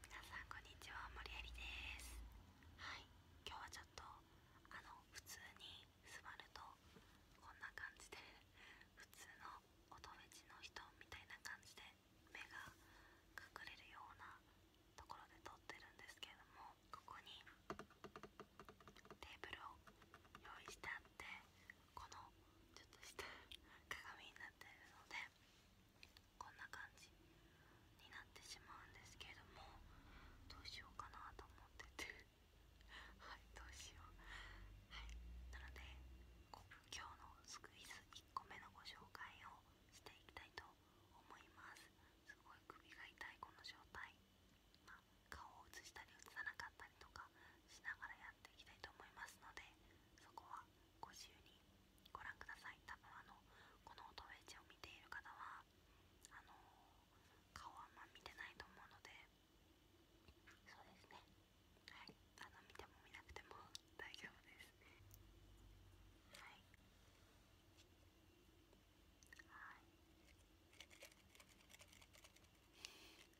皆さんこんにちは、森有です。はい、今日はちょっとあの普通に座るとこんな感じで普通の音フェの人みたいな感じで目が隠れるようなところで撮ってるんですけれども、ここにテーブルを用意してあってこのちょっとした鏡になってるのでこんな感じになってしまうんですけれどもどうしようかなと思っててはいどうしようはいなので今日のスクイズ1個目のご紹介をしていきたいと思いますすごい首が痛いこの状態顔を映したり映さなかったりとかしながらやっていきたいと思いますのでそこはご自由にご覧ください多分あのこの音エェジを見ている方はあの顔あんま見てないと思うのでそうですねはいあの見ても見なくても大丈夫ですはいはい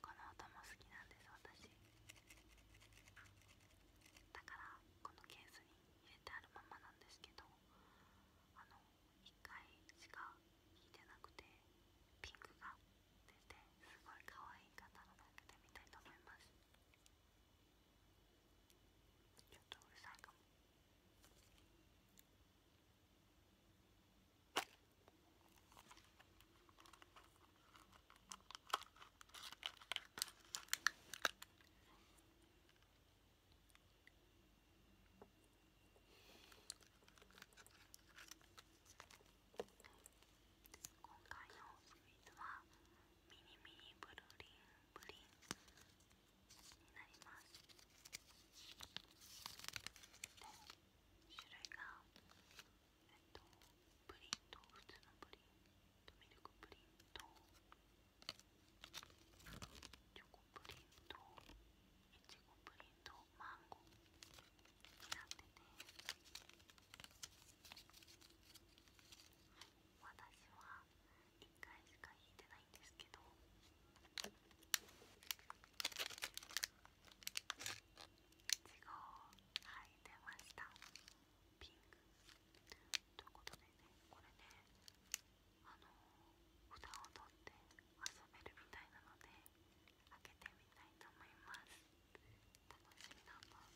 この音も好きなんです私。だからこのケースに入れてあるままなんですけどあの1回しか引いてなくてピンクが出てすごい可愛い方なので開けてみたいと思いますちょっとうるさいかも今回のお水はミニミニブルリンブリンになります種類がえっとプリンと普通のプリンとミルクプリンとチョコプリンとイチゴプリンとマンゴーになってて、はい、私は1回しか引いてないんですけど。ちごをはい出ましたピンクということでねこれねあの札を取って遊べるみたいなので開けてみたいと思います楽しみだなこ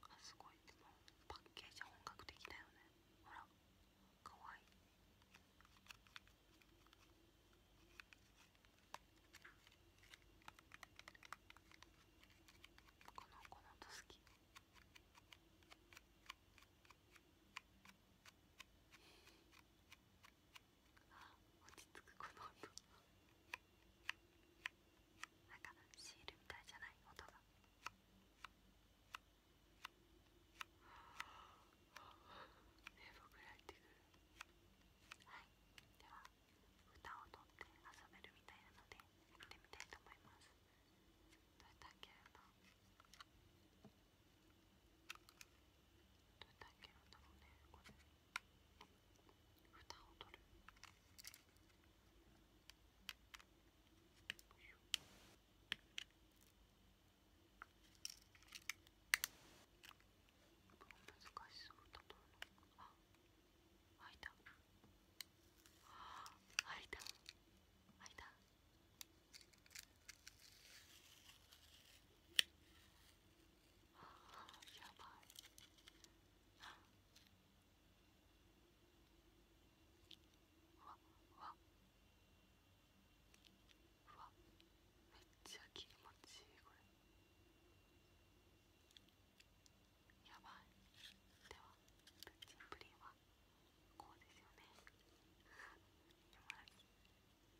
あすごいでもパッケージは本格的だよねほらかわいいこの子の音好きあ落ち着くこの音なんかシールみたいじゃない音がねぼくらってくるはいでは歌をとって遊べるみたいなのでやってみたいと思いますどうやったっけなどうやって開んだろうねこれ蓋を取るあ開いあ開いた開いたあーやばいわわわめっちゃ気持ちいいこれやばいではプッチンプリンはこうですよね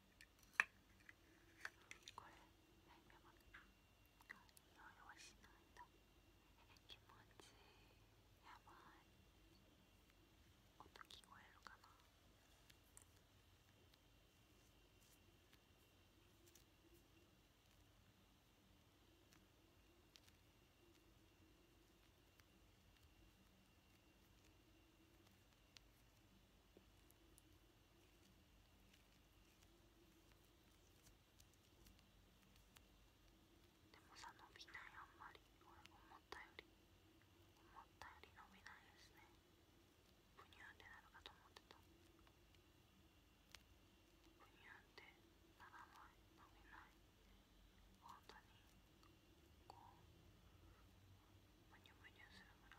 これ悩みは匂いはしないんだ気持ちいいやばい音聞こえるかなでもさ伸びないあんまり思ったより思ったより伸びないですねブニューってなるかと思ってたブニューってならない伸びない本当にこうブニュブニュするぐら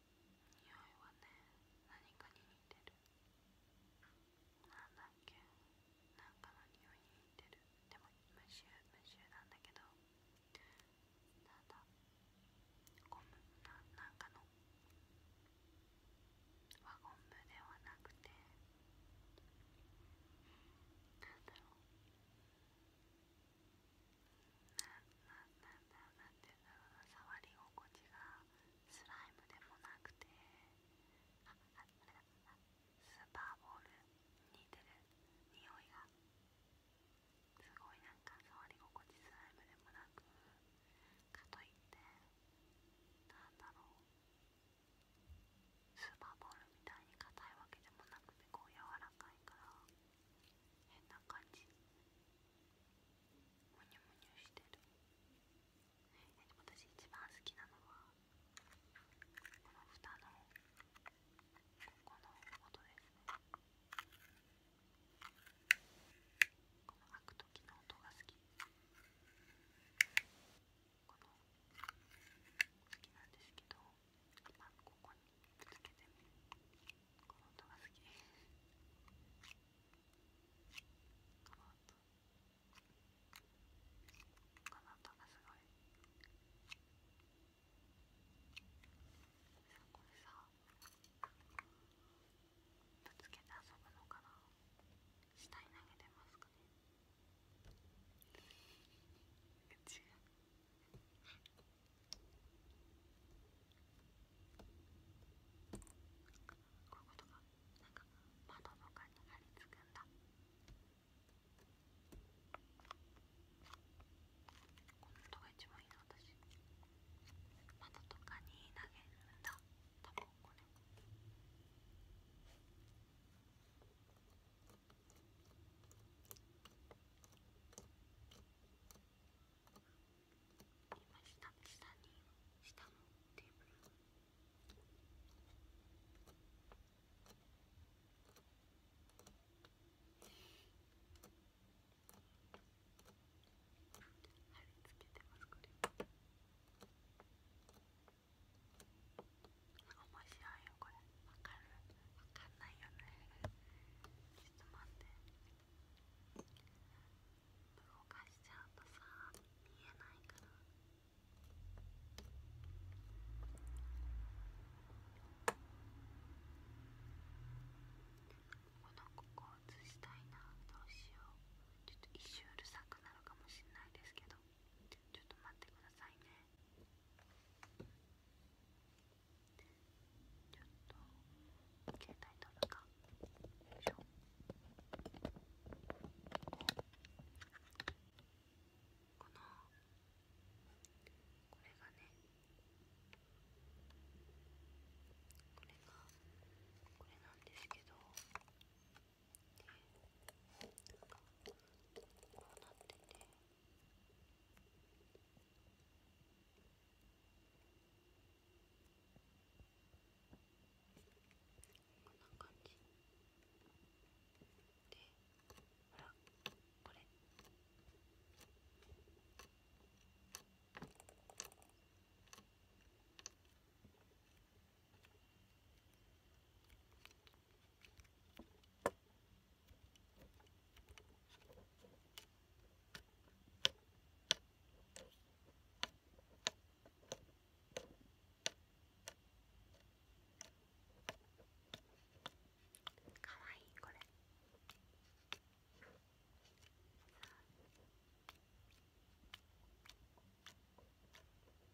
匂いはね何かに似てるなんだっけなんかの匂いに似てるでも無臭無臭なんだけどただゴムななんかの輪ゴムではなくてなんだろうなんていうんだろう触り心地がスライムでもなくてあああれだスーパーボール似てる匂いがすごいなんか触り心地スライムでもなくかといってなんだろうスーパーボールみたいに硬いわけでもなくてこう柔らかいから。変な感じむにゅむにゅしてる私一番好きなのはこの蓋のここの音ですねこの開く時の音が好きこの好きなんですけどまあ、ここにぶつけてみるこの音が好きこの音この音がすごいさこれさぶつけて遊ぶのかな下に投げてますかね違うこういうことが、なんか窓とかに張り付くんだこの音が一番いいな私窓とかに投げるんだ多分これ。今下下に下のテーブル貼り付けてますこれ面白いよこれ。わかるわかんないよねちょっと待しちゃうとさ見えないからこのここ映したいなどうしようちょっと一周うるさくなるかもしれないですけどちょっと待ってくださいねちょっと携帯取るかよいしょこのこれがねこれがこれなんですけどこうなってて。こんな感じでほらこれかわいいこれさ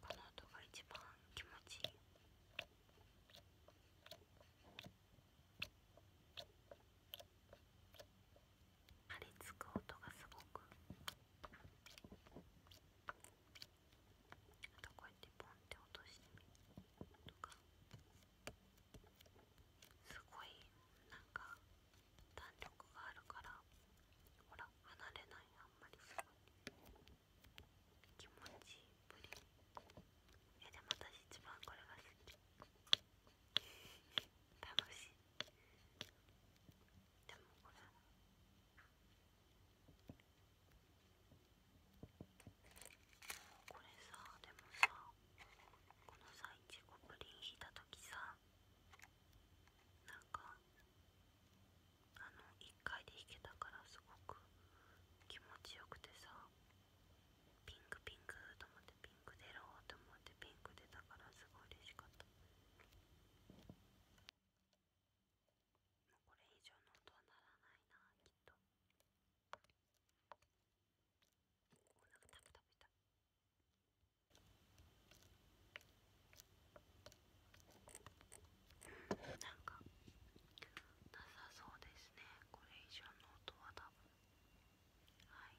この音が一番気持ちいい。張り付く音がすごくあとこうやってポンって落としてみるとか。すごいなんか弾力があるからほら離れないあんまりすごい気持ちいいプリンえでも私一番これが好き楽しいでもこれこれさでもさこのさいちごプリン引いた時さなんかあの1回で弾けたからすごく気持ちよくてさピンクピンクと思ってピンク出ろうと思ってピンク出たからすごい嬉しかったもうこれ以上の音はならないなきっとお腹タプタプしたなんかなさそうですねこれ以上の音は多分はい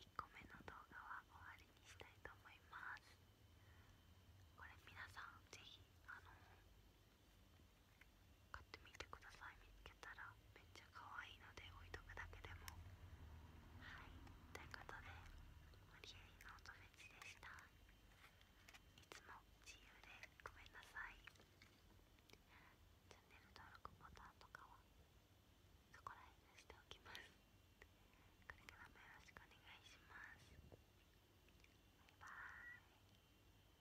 1個目の動画は終わりにしたいと思いますこれ皆さんぜひあの買ってみてください見つけたらめっちゃ可愛いので置いとくだけでもはいということでマリエリの音フェちでしたいつも自由でごめんなさいチャンネル登録ボタンとかはそこら辺にしておきますこれからもよろしくお願いしますバイバーイ